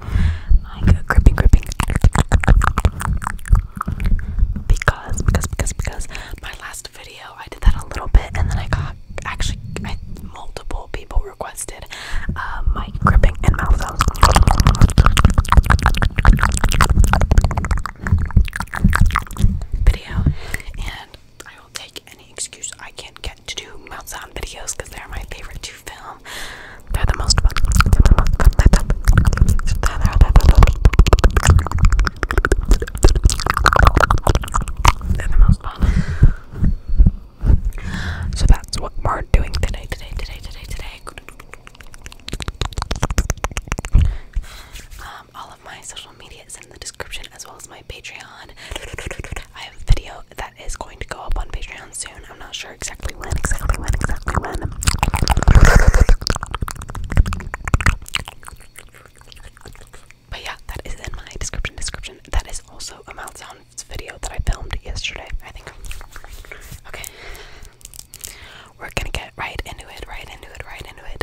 like gripping, gripping. Because, because, because, because my last video I did that a little bit, and then I got actually multiple people requested um, my gripping and mouth sounds. Video and I will take any excuse I can get to do mouth sound videos because they're my favorite so that's what we're doing today, today, today, today, today. Um, all of my social media is in the description as well as my Patreon. I have video that is going to go up on Patreon soon. I'm not sure exactly when, exactly when, exactly when. But yeah, that is in my description. Description. That is also a Mount Sounds video that I filmed yesterday. I think. Okay. We're gonna get right into it. Right into it. Right into it.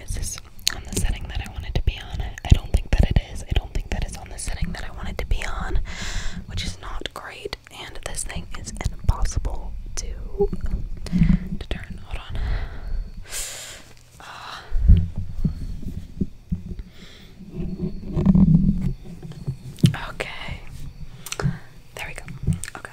Is this on the setting that I want to be on? I don't think that it is. I don't think that it's on the setting that I wanted to be on, which is not great. And this thing is impossible to to turn. Hold on. Ah. Okay. There we go. Okay.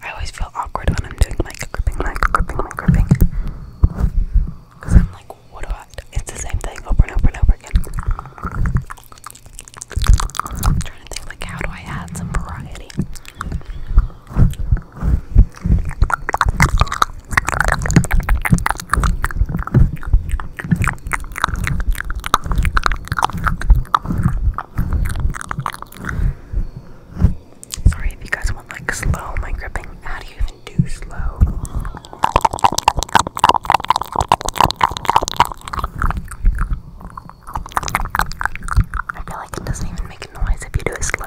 I always feel awkward when I'm doing like gripping, like gripping, like gripping. Because I'm like, what do I It's the same thing over and over and over again. trying to think, like, how do I add some variety? Sorry if you guys want like slow my gripping. How do you even do slow? I feel like it doesn't even make a noise if you do it slow.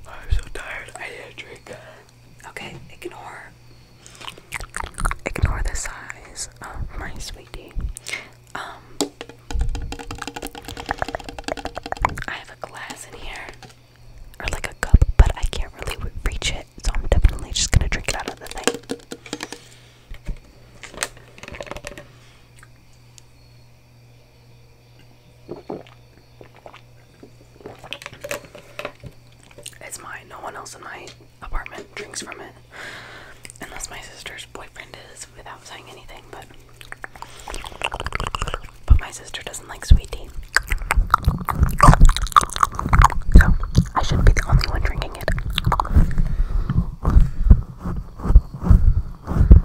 I'm so tired. I need a drink. Okay, ignore. Ignore the size my sweetie. Um, I have a glass in here, or like a cup, but I can't really reach it, so I'm definitely just gonna drink it out of the thing. It's mine. No one else in my apartment drinks from it. Unless my sister's boyfriend is without saying anything, but but my sister doesn't like sweet tea. So I shouldn't be the only one drinking it.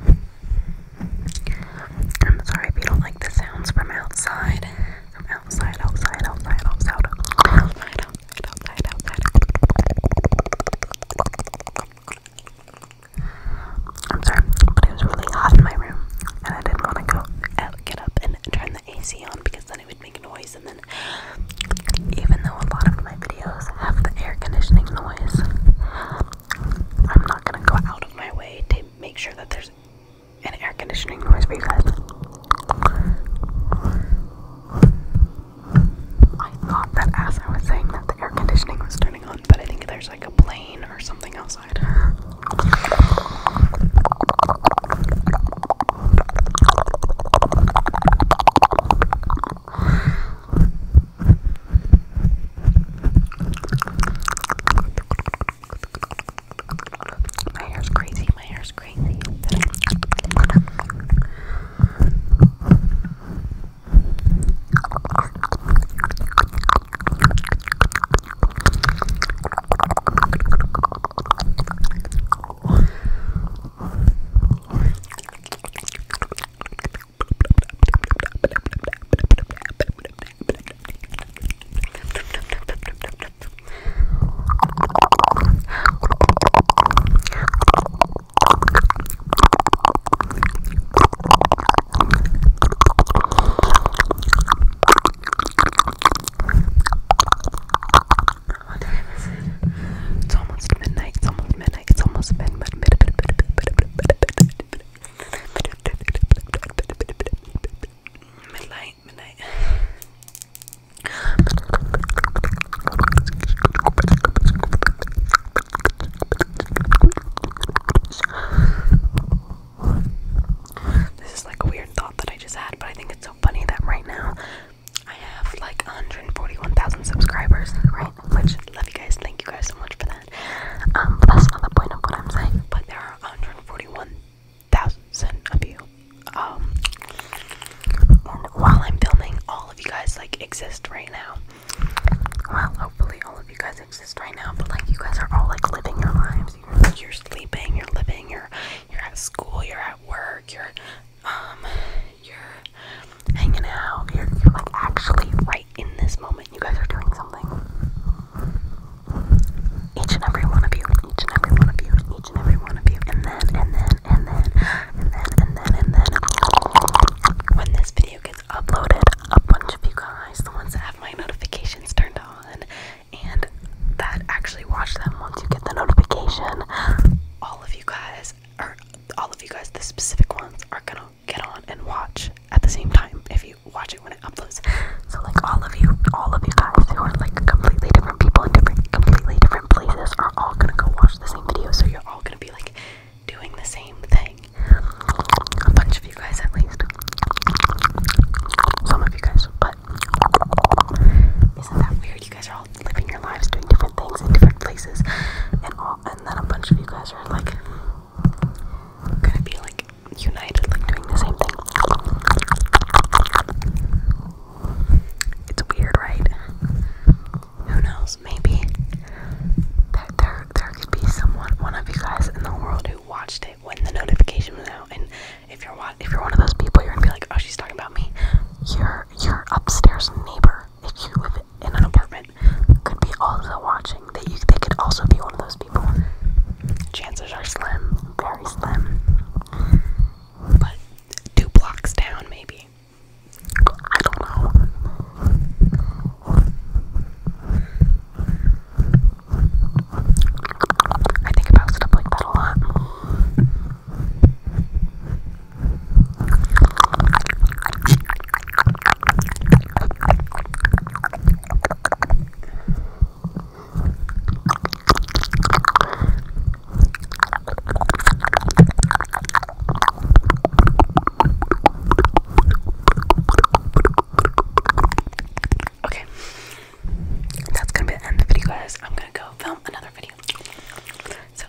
I'm sorry if you don't like the sounds from outside. From outside, outside, outside, outside, I'm sorry, but it was really hot in my room, and I didn't want to go out, get up and turn the AC on because then it would make noise. And then, even though a lot of my videos have the air conditioning noise, I'm not gonna go out of my way to make sure that there's an air conditioning noise for you guys. I thought that as I was saying that the air conditioning was turning on, but I think there's like a plane or something outside. My hair's crazy, my hair's crazy. What time is it? It's almost midnight. It's almost midnight midnight. It's almost Midnight, midnight. This is like a weird thought that I just had, but I think it's so funny that right now I have like 141,000 subscribers, right? Which love you guys, thank you guys so much for that. Um, but that's not the point of what I'm saying. But there are 141,000 of you. Um, while I'm filming, all of you guys like exist right now. Well, hopefully all of you guys exist right now. But like, you guys are all like living your lives. You're, you're sleeping. You're living. You're you're at school. You're at work. You're um, you're hanging out. You're, you're like actually right in this moment. You guys are doing something. Each and every one of you, and each and every one of you, and each and every one of you, and then, and then, and then, and then, and then, and then. When this video gets uploaded, a bunch of you guys, the ones that have my notifications turned on, and that actually watch them once you get the notification, all of you guys or all of you guys the specific ones are gonna get on and watch at the same time if you watch it when it uploads so like all of you all of you guys who are like completely different people in different completely different places are all gonna go watch the same video so you're all gonna be like doing the same thing a bunch of you guys at least some of you guys but isn't that weird you guys all living your lives, doing different things in different places, and all, and then a bunch of you guys are like gonna be like united, like doing the same thing. It's weird, right? Who knows? Maybe there, there, could be someone, one of you guys in the world who watched it when the notification was out, and if you're if you're one of those people, you're gonna be like, oh, she's talking about me. Your your upstairs neighbor or that you live in an apartment could be also watching. That you they could also be one of those people. Chances are slim, very slim. But two blocks down maybe. I don't know. I think about stuff like that a lot. Okay, that's gonna be the end of the video, guys. I'm gonna go film another video. So,